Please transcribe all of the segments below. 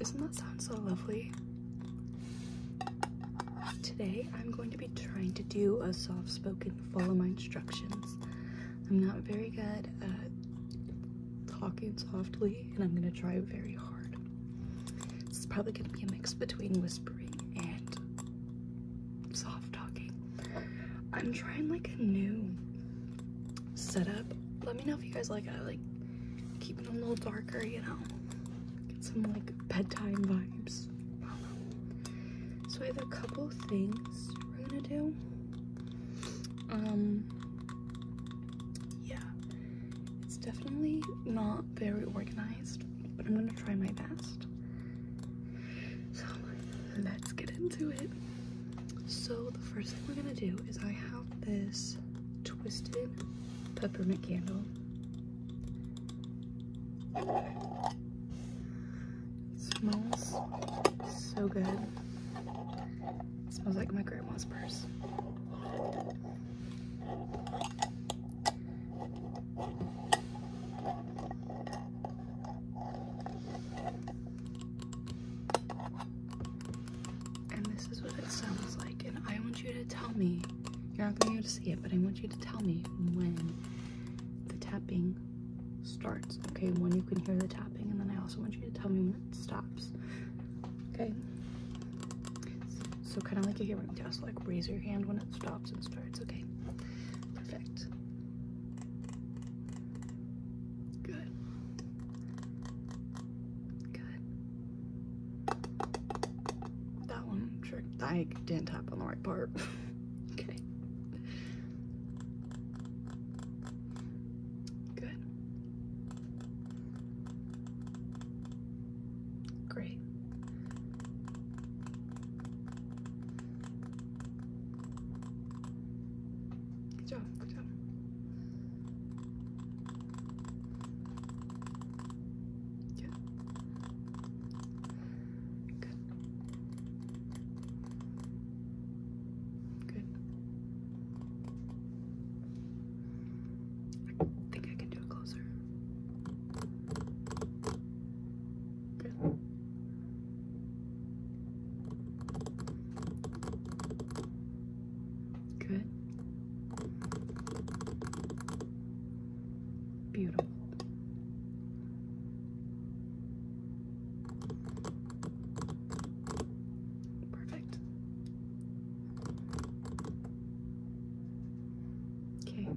is not that sound so lovely? Today I'm going to be trying to do a soft spoken follow my instructions. I'm not very good at talking softly and I'm going to try very hard. This is probably going to be a mix between whispering and soft talking. I'm trying like a new setup. Let me know if you guys like it. like keeping them a little darker, you know. Get some like bedtime vibes. So I have a couple things we're gonna do. Um yeah. It's definitely not very organized, but I'm gonna try my best. So let's get into it. So the first thing we're gonna do is I have this twisted peppermint candle. smells so good. smells like my grandma's purse. And this is what it sounds like. And I want you to tell me, you're not going to be able to see it, but I want you to tell me when the tapping starts. Okay, when you can hear the tapping. And then I also want you to tell me when it stops. Okay. So kind of like you a hearing test, like raise your hand when it stops and starts. Okay, perfect. Good. Good. That one trick. I didn't tap on the right part. okay. Good. Great. Good job, good job. Good. Good. Good. I think I can do it closer. Good. Beautiful. Perfect. Okay.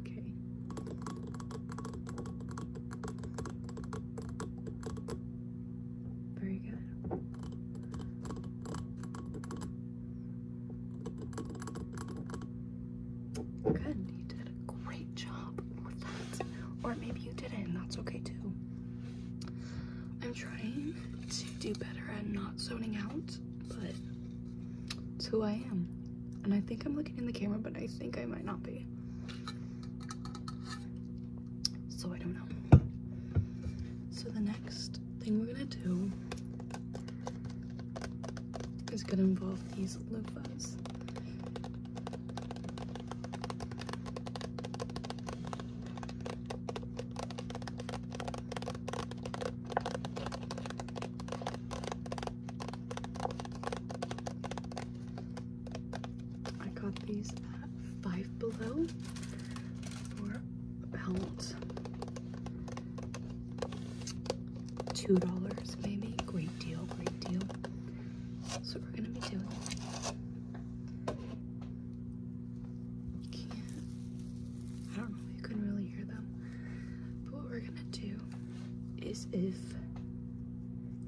Okay. Very good. Good, you did a great job with that. Or maybe you didn't, and that's okay too. I'm trying to do better and not zoning out but it's who I am. And I think I'm looking in the camera, but I think I might not be. So I don't know. So the next thing we're gonna do is gonna involve these loofahs. I got these at Five Below for about two dollars, maybe. Great deal, great deal. That's what we're gonna be doing. I don't know. You couldn't really hear them. But what we're gonna do is if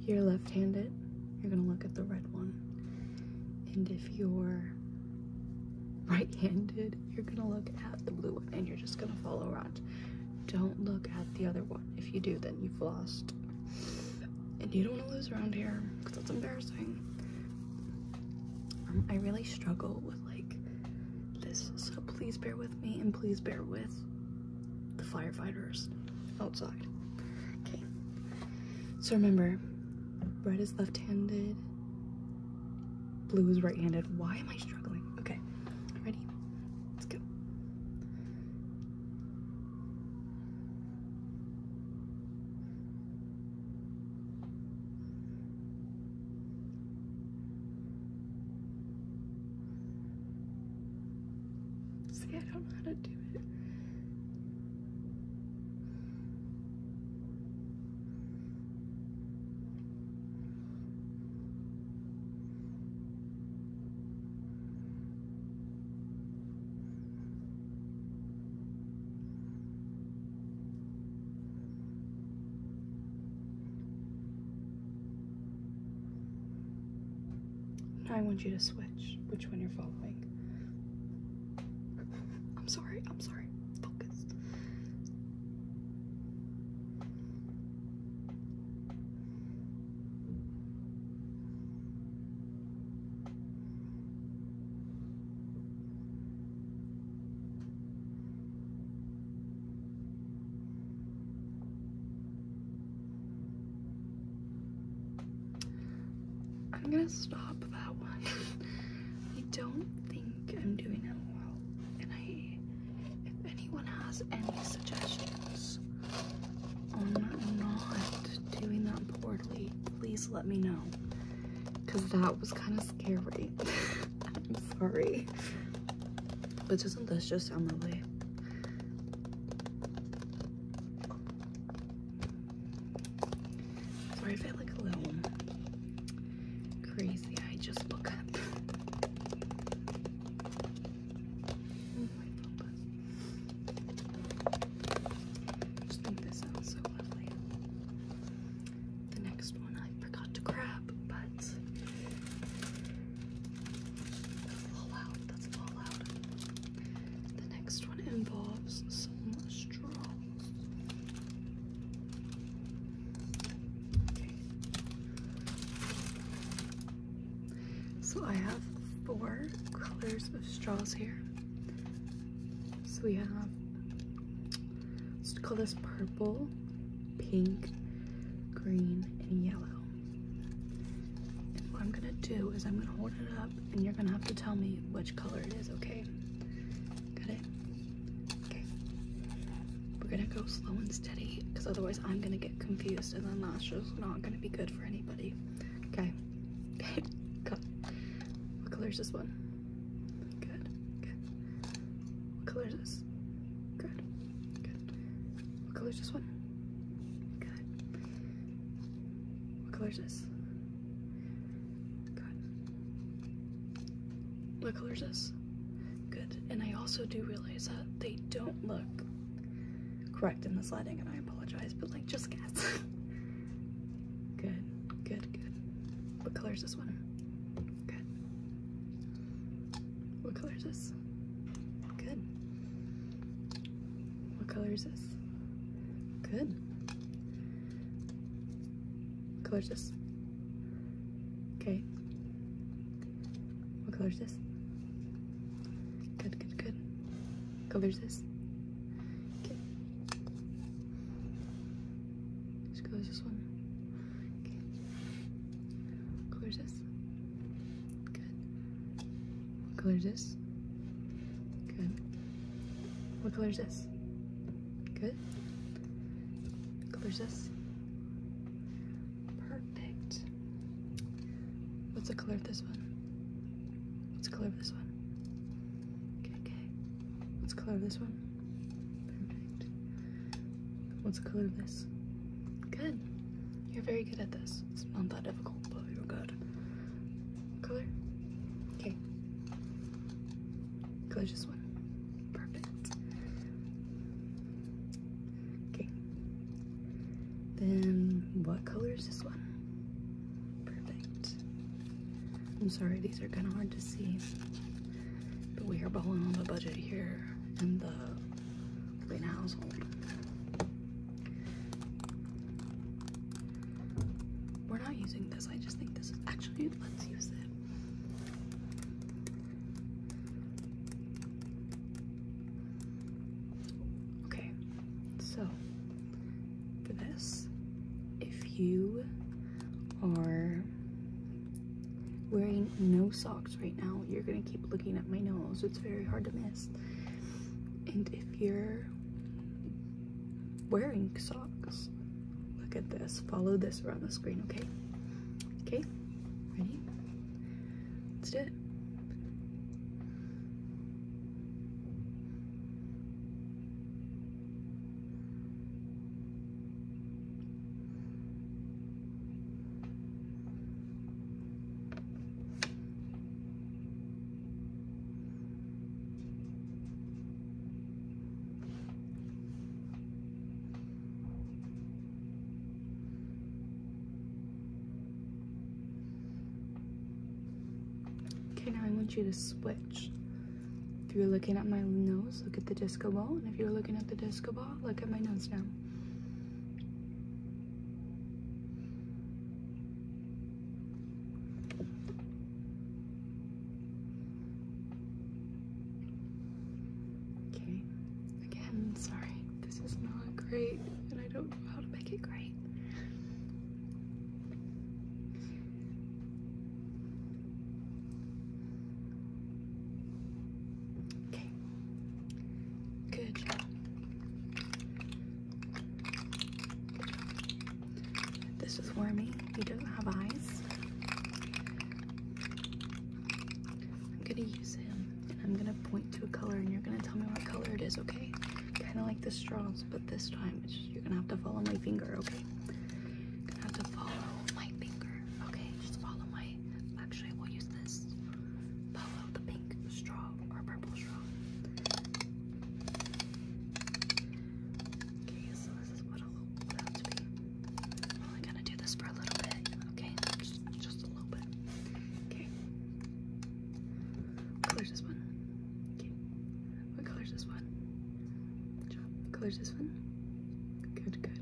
you're left-handed, you're gonna look at the red one. And if you're right-handed, you're gonna look at the blue one and you're just gonna follow around. Don't look at the other one. If you do, then you've lost. And you don't wanna lose around here because that's embarrassing. Um, I really struggle with like this. So please bear with me and please bear with the firefighters outside. Okay. So remember, red is left-handed, blue is right-handed. Why am I struggling? Okay, ready? Let's go. See, I don't know how to do it. I want you to switch which one you're following. I'm sorry, I'm sorry. Focus. I'm gonna stop that one. I don't think I'm doing it well. And I, if anyone has any suggestions on not doing that poorly, please let me know. Cause that was kind of scary. I'm sorry. But doesn't this just sound lovely? Sorry if I a little crazy. I just woke up. I oh just think this sounds so lovely the next one I forgot to grab, but Fallout, that's Fallout. The next one involves some straws. So I have four colors of straws here. So we have let's call this purple, pink, green, and yellow. And what I'm gonna do is I'm gonna hold it up and you're gonna have to tell me which color it is, okay? Got it? Okay. We're gonna go slow and steady because otherwise I'm gonna get confused and then that's just not gonna be good for anybody. Okay. Okay, cut. What color is this one? Good. What color is this? Good. Good. What color is this one? Good. What color is this? Good. What color is this? Good. And I also do realize that they don't look correct in this lighting, and I apologize, but like, just guess. good. Good. Good. What color is this one? Good. What color is this? Good. What color is this? Good. What color is this? Okay. What color is this? Good, good, good. color this? Okay. Just close this one. Okay. Color this. Good. What color is this? Good. What color is this? Good. What color is this? Perfect. What's the color of this one? What's the color of this one? Okay, okay. What's the color of this one? Perfect. What's the color of this? Good. You're very good at this. It's not that difficult, but you're good. Color? Okay. Color just one. Perfect. Okay. Then what color is this one? Perfect. I'm sorry, these are kind of hard to see. But we are bowling on the budget here in the Lane household. We're not using this. I just think this is actually let's use it. Okay, so for this, if you or wearing no socks right now, you're gonna keep looking at my nose. It's very hard to miss. And if you're wearing socks, look at this. Follow this around the screen, okay? Okay, ready? Let's do it. Okay, now I want you to switch if you're looking at my nose, look at the disco ball. And if you're looking at the disco ball, look at my nose now. Okay, again, sorry, this is not great, and I don't know how to make it great. Okay. Good This is Wormy. You do not have eyes. I'm gonna use him and I'm gonna point to a color and you're gonna tell me what color it is, okay? Kinda like the straws, but this time you're gonna have to follow my finger, okay? have to follow my finger. Okay, just follow my. Actually, we'll use this. Follow the pink straw or purple straw. Okay, so this is what will I'm only gonna do this for a little bit. Okay, just, just a little bit. Okay. What color this one? Okay. What color is this one? Good job. is this one. Good, good.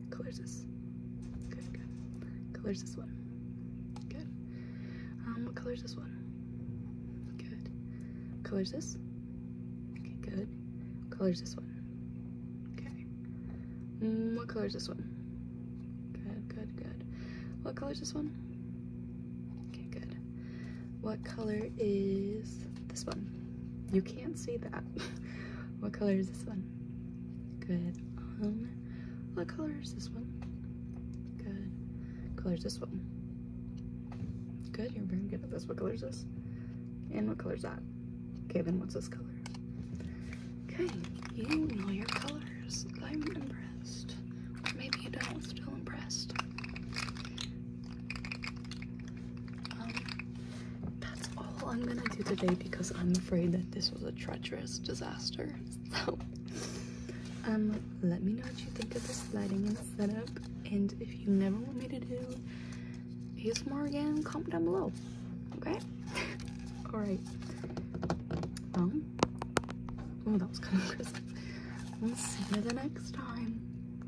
What color is this one. Good. Um, what color's this one? Good. Colors this. Okay, good. Mm, this one. Good, good, good. What color's this one? Okay, good. What color is this one. You can't see that. what color is this one? Good. Um, what color is this one? Good. What color is this one? Good, you're very good at this. What color is this? And what color is that? Okay, then what's this color? Okay, you know your colors. I'm impressed. maybe you don't, still impressed. Um, that's all I'm gonna do today because I'm afraid that this was a treacherous disaster. So, um, let me know what you think of this lighting and setup. And if you never want me to do ASMR again, comment down below. Okay? Alright. Well, um, oh, that was kind of crisp. We'll see you the next time.